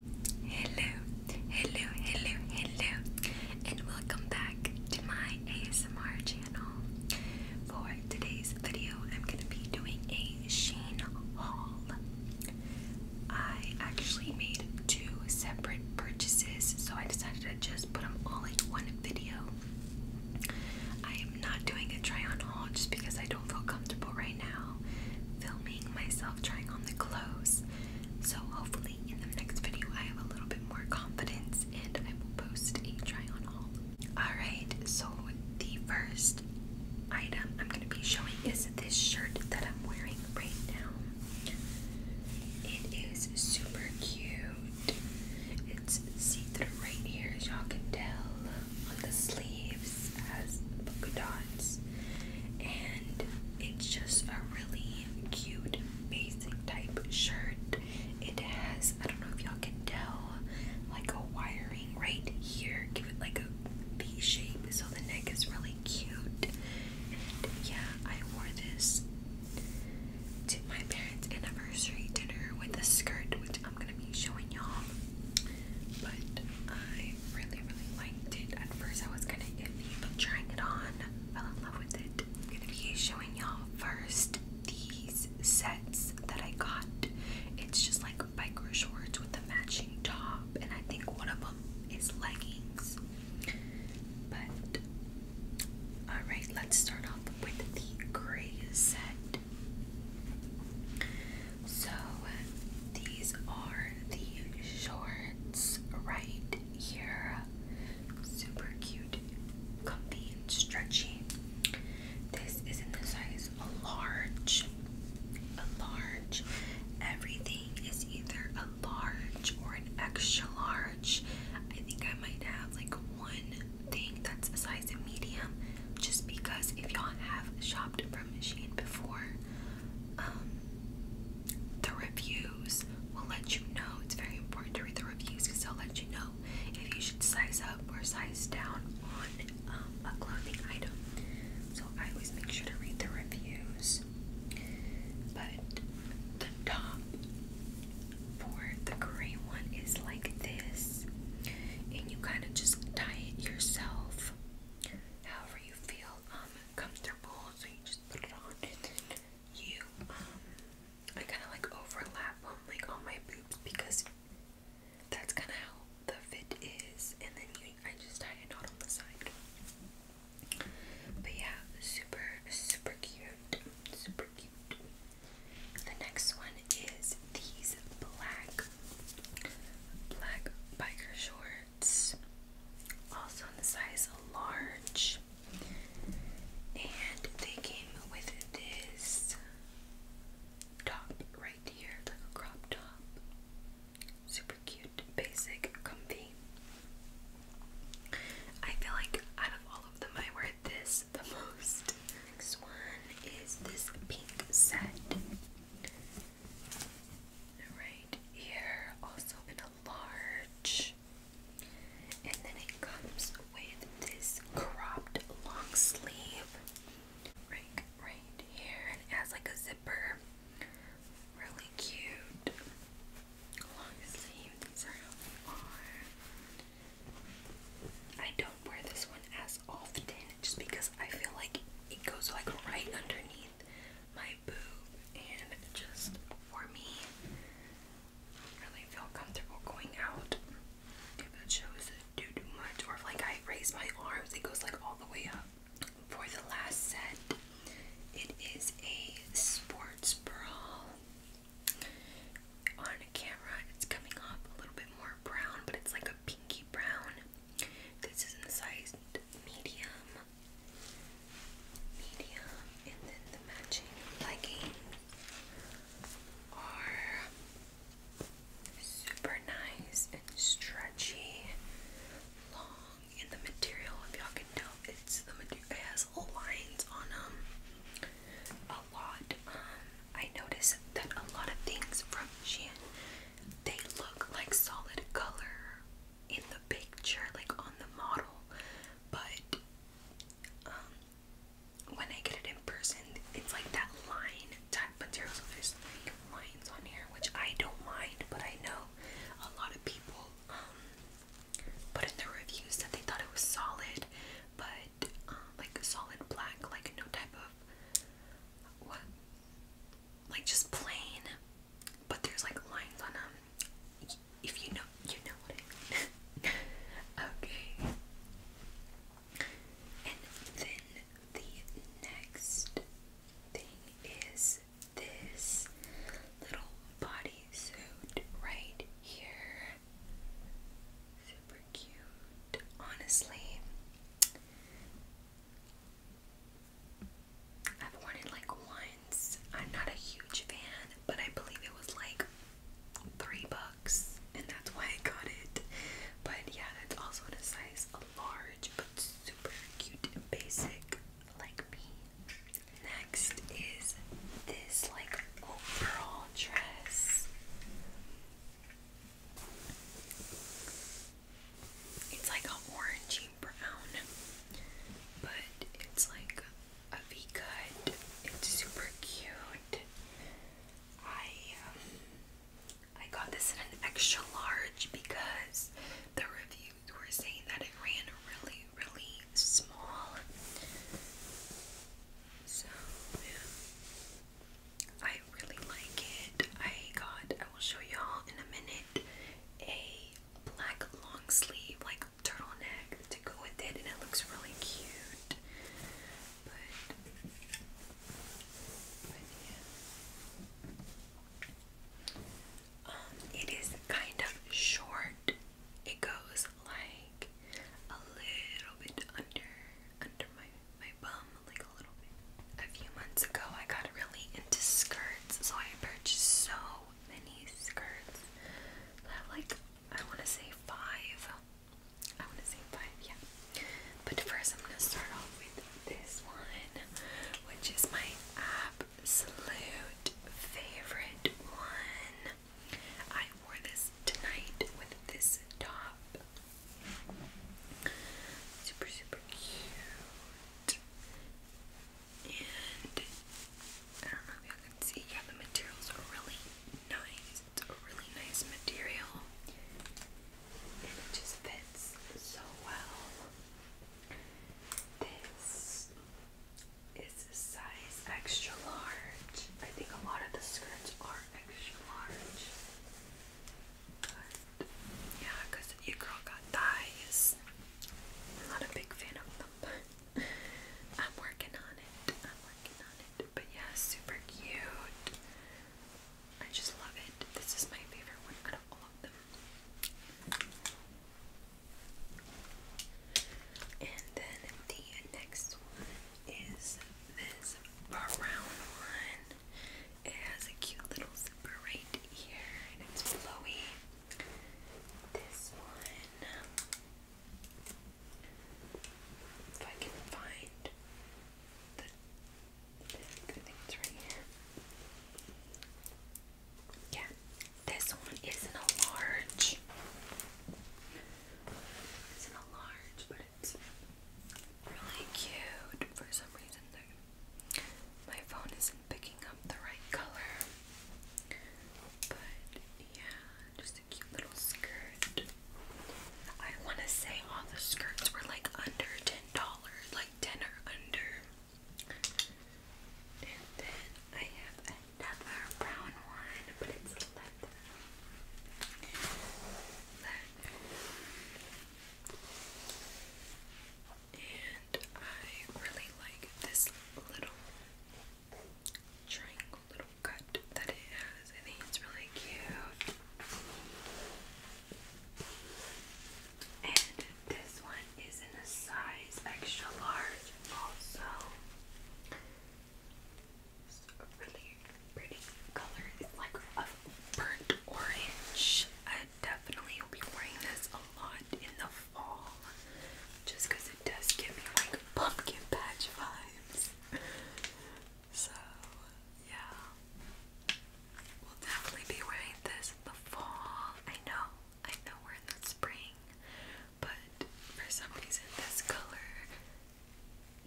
Hello, hello, hello, hello, and welcome back to my ASMR channel. For today's video, I'm going to be doing a Sheen haul. I actually made two separate purchases, so I decided to just put them all in one video. I am not doing a try on haul just because I don't feel comfortable right now filming myself trying on the clothes. So hopefully in the next video I have a little bit more confidence and I will post a try on haul. Alright, so the first item I'm going to be showing is this shirt that I'm wearing right now. It is super cute. It's see-through right here as y'all can tell on the sleeves this polka dots, and it's just a really cute basic type shirt. It has, I don't know if y'all can tell, like a wiring right here. Give it like a V shape, so the neck is really cute. And yeah, I wore this to my parents' anniversary dinner with a skirt, which I'm gonna be showing y'all. But I I really, really liked it. At first, I was kind of iffy, trying it on, fell in love with it. am gonna be showing y'all first these sets that I got. It's just like biker shorts with a matching top, and I think one of them is leggings. But alright, let's start off with the gray set. So these are the shorts right here. Super cute, comfy, and stretchy. This is not the size a large. A large. Everything is either a large or an extra large. I think I might have like one thing that's a size of medium just because if y'all have shopped from Machine before, um, the reviews will let you know. It's very important to read the reviews because they'll let you know if you should size up or size down on um, a clothing item. So I always make sure to read the reviews. But the top for the gray one is like this, and you kind of just tie it yourself however you feel. Um, comfortable, so you just put it on. You, um, I kind of like overlap like on my boobs because that's kind of how the fit is, and then I just tie a knot on the side. But yeah, super, super cute, super cute. The next one is these black, black biker shorts hearts, also in the size large. And they came with this top right here, like a crop top. Super cute, basic, comfy. I feel like out of all of them, I wear this the most. Next one is this pink set. The right ear also in a large, and then it comes with this cropped long sleeve right, right here, and it has like a zipper. Really cute. Long sleeve. These are how they are. I don't wear this one as often just because I feel like it goes like right underneath my and just for me really feel comfortable going out. If it shows too much or if like I raise my arms it goes like all the way up. For the last set it is a sports bra. On camera it's coming up a little bit more brown but it's like a pinky brown this is in the size medium, medium, and then the matching leggings are super nice and stretchy, long, and the material, if y'all can tell, it's the material. It has lines on them. A lot. Um, I notice that a lot of things from Shein, they look like solid color in the picture, like on the model, but um, when I get it in person, it's like that line type material. So there's like lines on here, which I don't mind, but I know a lot of people um, put in their reviews that they thought it was solid, but um, like solid black, like no type of like just plain but there's like lines on them. Um, if you know, you know what I mean. okay. And then the next thing is this little bodysuit right here. Super cute. Honestly, I've worn it like once. I'm not a huge fan, but I believe it was like three bucks, and that's why I got it. But yeah, that's also in a size a large, but super cute and basic, like me. Next is this like overall dress. It's like a orangey brown, but it's like a V cut. It's super cute. I um, I got this in an extra large because the reviews were saying that it ran really, really small. So I really like it. I got I will show y'all in a minute a black long sleeve, like turtleneck to go with it, and it looks really cute. But, yeah. Um, it is kind of short. It goes like a little bit under under my my bum, like a little bit. A few months ago, I got really into skirts. So I purchased so many skirts. I have like I wanna say five. I wanna say five, yeah. But first I'm gonna start off with this one, which is my absolute favorite one. I wore this tonight with this top. Super super cute. I don't know if y'all can see, yeah, the materials are really nice. It's a really nice material, and it just fits so well. This is a size extra large. I think a lot of the skirts are extra large, yeah, because your girl got thighs. I'm not a big fan of them, but I'm working on it. I'm working on it. But yeah, super cute. I just love it. This is my favorite one out of all of them. And then the next one is this brown one. It has a cute little zipper right here and it's flowy. This one, if I can find the, I think right here. Yeah, this one isn't a large. Isn't a large, but it's really cute for some reason. Though. My phone is picking up the right color. But yeah, just a cute little skirt. I want to say all the skirts were like under ten dollars, like ten or under. then I have another brown one, but it's Leather and I really like this little triangle little cut that it has. I think it's really cute. And this one is in a size extra large also. It's really pretty color. like a burnt orange, definitely you'll be wearing this a lot in the fall just it does give me like pumpkin patch vibes. So, yeah. We'll definitely be wearing this in the fall. I know, I know we're in the spring, but for some reason, this color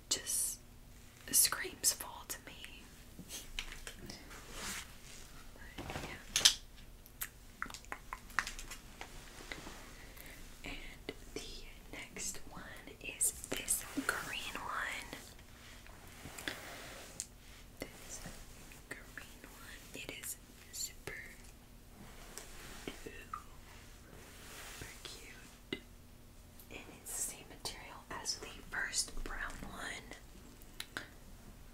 just screams fall to me. But, yeah. And the next one is this green one. This green one. It is super, super cute. And it's the same material as the first brown one.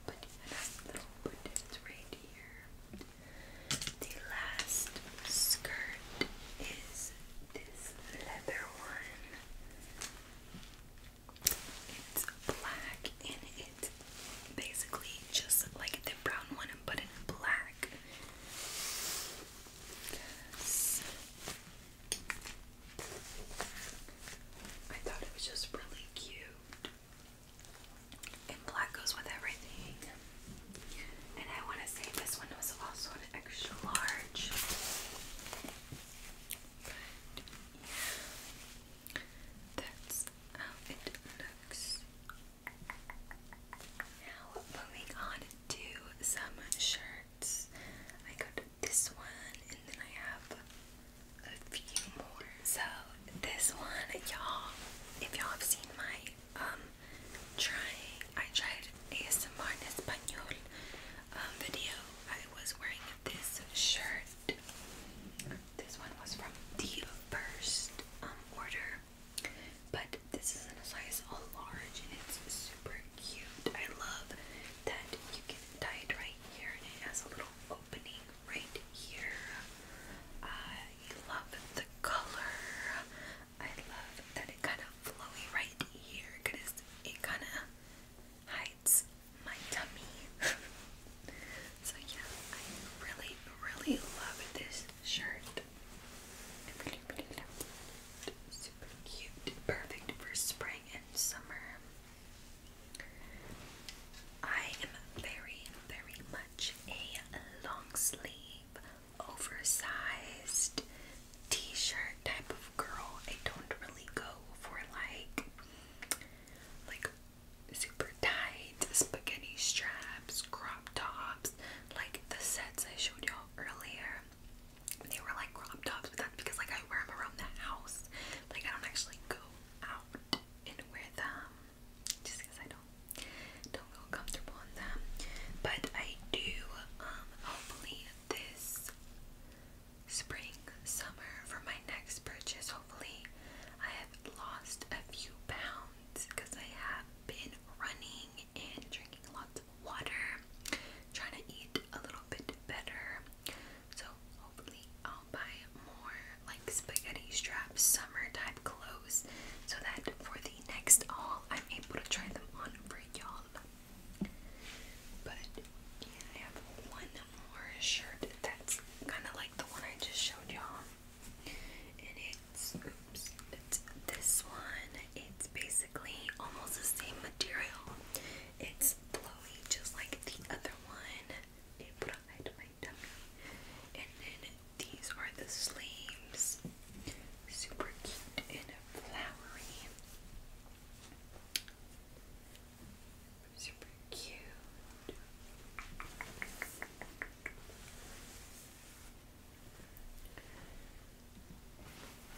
But another right here. The last skirt is this leather one. It's black and it's basically just like the brown one but in black. I thought it was just really cute black goes with everything. And I want to say this one was also an extra large. That's how it looks. Now moving on to some shirts. I got this one and then I have a few more. So this one, y'all, if y'all have seen my um trying I tried ASMR in Espanol um video. I was wearing this shirt. This one was from the first um order. But this is in a size large and it's super cute. I love that you can tie it right here and it has a little opening right here. Uh, I love the color. I love that it kind of flowy right here because it kind of hides my tummy. so yeah, I really, really love this shirt. really, really love it. Super cute. Perfect for spring and summer. I am very, very much a long sleeve, oversized t shirt type of girl. I don't really go for like, like super tight spaghetti straps, crop tops, like the sets I showed y'all earlier. They were like crop tops, but that's because like I wear them around the house. Like I don't actually go out and wear them um, just because I don't don't feel comfortable in them. But I do um, hopefully this spring, summer for my next purchase, hopefully I have lost a few pounds because I have been running and drinking lots of water, trying to eat a little bit better. So hopefully I'll buy more like spaghetti strap summer type clothes so that for the next haul I'm able to try them on for y'all. But yeah, I have one more shirt that's kind of like the one I just showed y'all. And it's, oops, it's this one. It's basically almost the same material. It's flowy just like the other one and then these are the sleeves. Super cute and flowery. Super cute.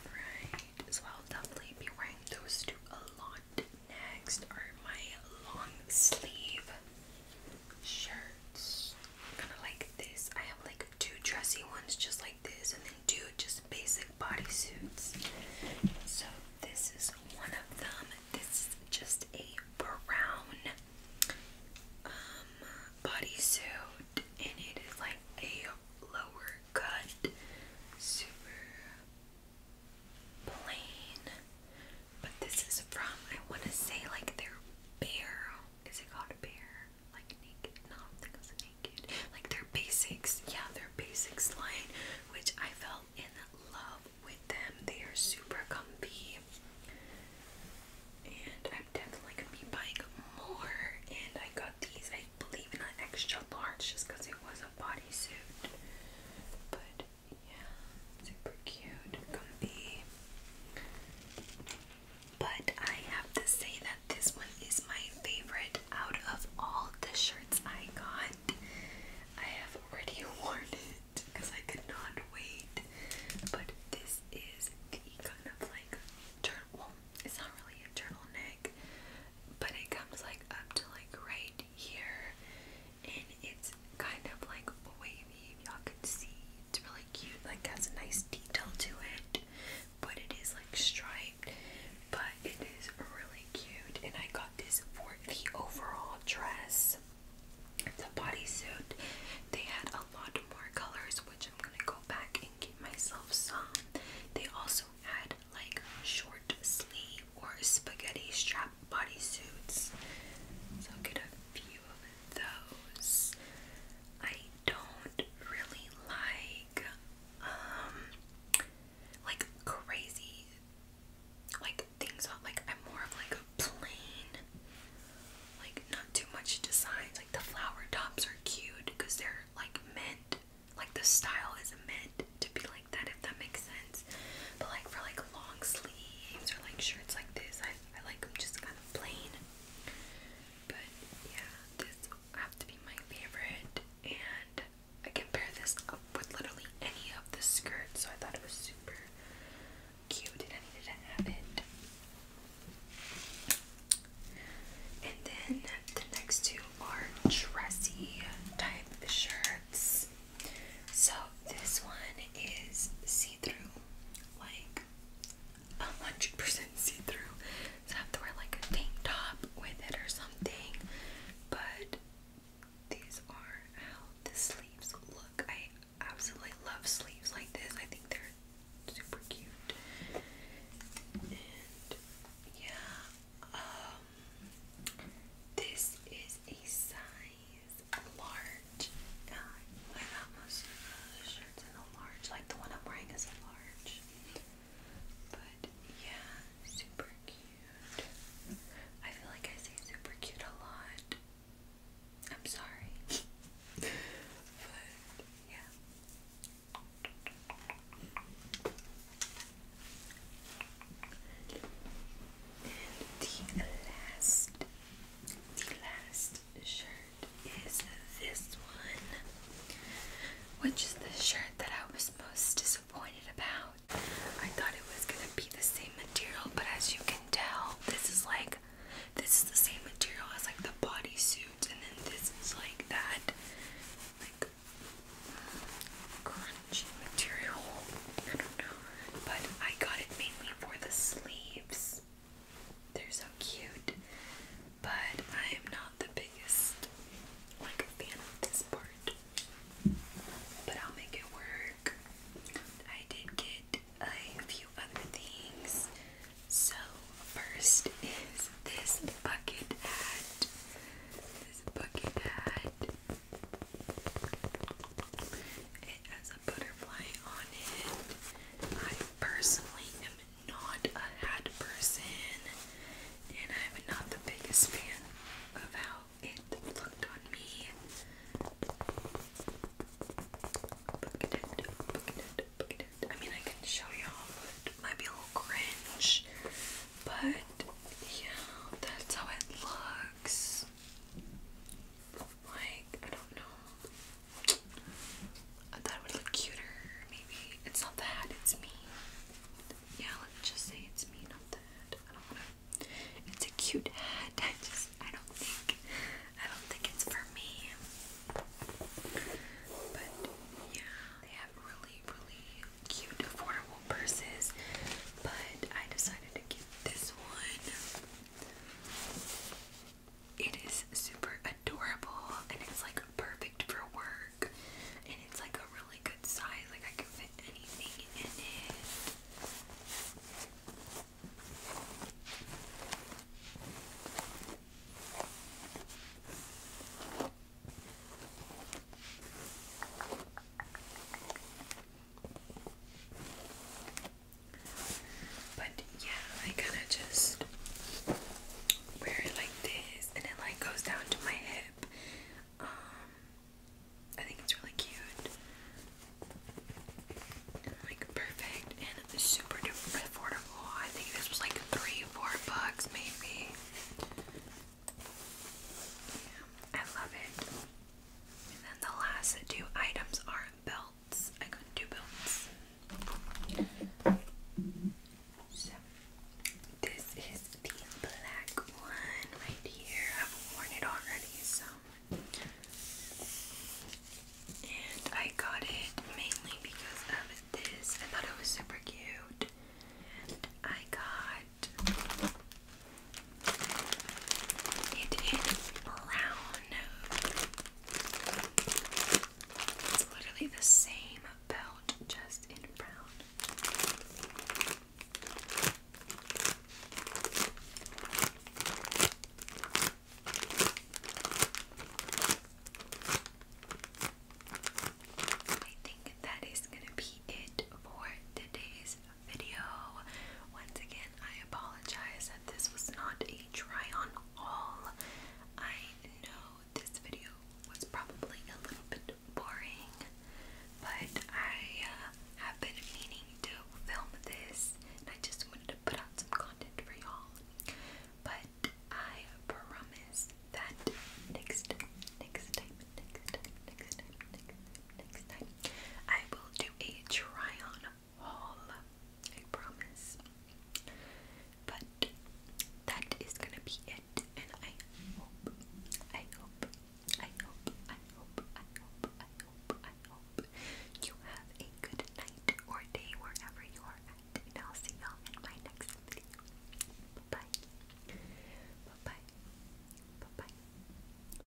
Right, so I'll definitely be wearing those two a lot Next are my long sleeve shirts. Kind of like this. I have like two dressy ones just like this and then two just basic bodysuits. So this is one of them. This is just a brown um bodysuit and it is like a lower cut super plain. But this is from I wanna say like their bear. Is it called a bear? Like naked? No, I don't think it's naked. Like their basics, yeah, their basics line, which I fell in love with them. They are super comfy. And I'm definitely gonna be buying more. And I got these, I believe, in an extra large just because it was a bodysuit. But yeah, super cute, comfy. But I have to say that this one is my favorite out of all the shirts I got. I have already worn it because I could not wait. But this is the kind of like turtle. Well, it's not really a turtleneck, but it comes like up to like right here, and it's kind of like wavy. If y'all can see, it's really cute. Like has a nice detail to it, but it is like striped. But it is really cute, and I got this for the overall dress. The bodysuit. They had a lot more colors, which I'm gonna go back and get myself some. They also had like short sleeve or spaghetti strap bodysuits. So get a few of those. I don't really like um, like crazy like things like I'm more of like a plain like not too much designs like the flower tops are cute because they're like meant like the style is meant to be like that if that makes sense. But like for like long sleeves or like shirts like this, I I like them just kind of plain. But yeah, this have to be my favorite and I can pair this up with literally any of the skirts, so I thought it was super cute and I needed to have it. And then the next two are dressy type shirts. So this one is see-through, like a hundred percent see-through. So I have to wear like a tank top with it or something. But these are how the sleeves look. I absolutely love sleeves like this. I think they're super cute. And yeah, um, this is a size size large. God, I got most of the shirts in a large. Like the one I'm wearing is a large. But yeah, super cute. I feel like I say super cute a lot. I'm sorry. but yeah the last, the last shirt is this one, which is the shirt that I was most disappointed about. I thought it was gonna be the same material, but as you can tell, this is like this is the same material as like the bodysuit, and then this is like that, like material. But I got it mainly for the sleeves. They're so cute. But I am not the biggest like fan of this part. But I'll make it work. I did get a few other things. So first is this bucket hat. This bucket hat. It has a butterfly on it. I personally am not a hat person, and I'm not the biggest fan of how it looked on me. I mean, I can show y'all, might be a little cringe. But yeah, that's how it looks. Like, I don't know. I thought it would look cuter, maybe. It's not the hat, it's me. Yeah, let's just say it's me, not the hat. I don't wanna. It's a cute hat. I just, I don't think, I don't think it's for me. But yeah, they have really, really cute, affordable purses. But I decided to get this one. It is super adorable and it's like perfect for work and it's like a really good size, like I can fit anything in it. But yeah, I kinda just wear it like this and it like goes down to my hip. Um I think it's really cute. And like perfect and super duper affordable. I think this was like three, four bucks maybe. Yeah, I love it. And then the last two items are belts. I couldn't do belts. So this is the black one right here. I've worn it already, so and I got it mainly because of this. I thought it was super cute. I got it is brown. It's literally the same belt, just in brown. I think that is going to be it for today's video. Once again, I apologize that this was not a try on all. I know this video was probably a little bit boring, but I uh, have been meaning to film this and I just wanted to put out some content for y'all. But I promise that next next time, next time, next time, next time, next time I will do a try on haul. I promise. But that is gonna be it, and I hope, I hope, I hope, I hope, I hope, I hope, I hope you have a good night or day wherever you are at, and I'll see y'all in my next video. bye bye, bye bye.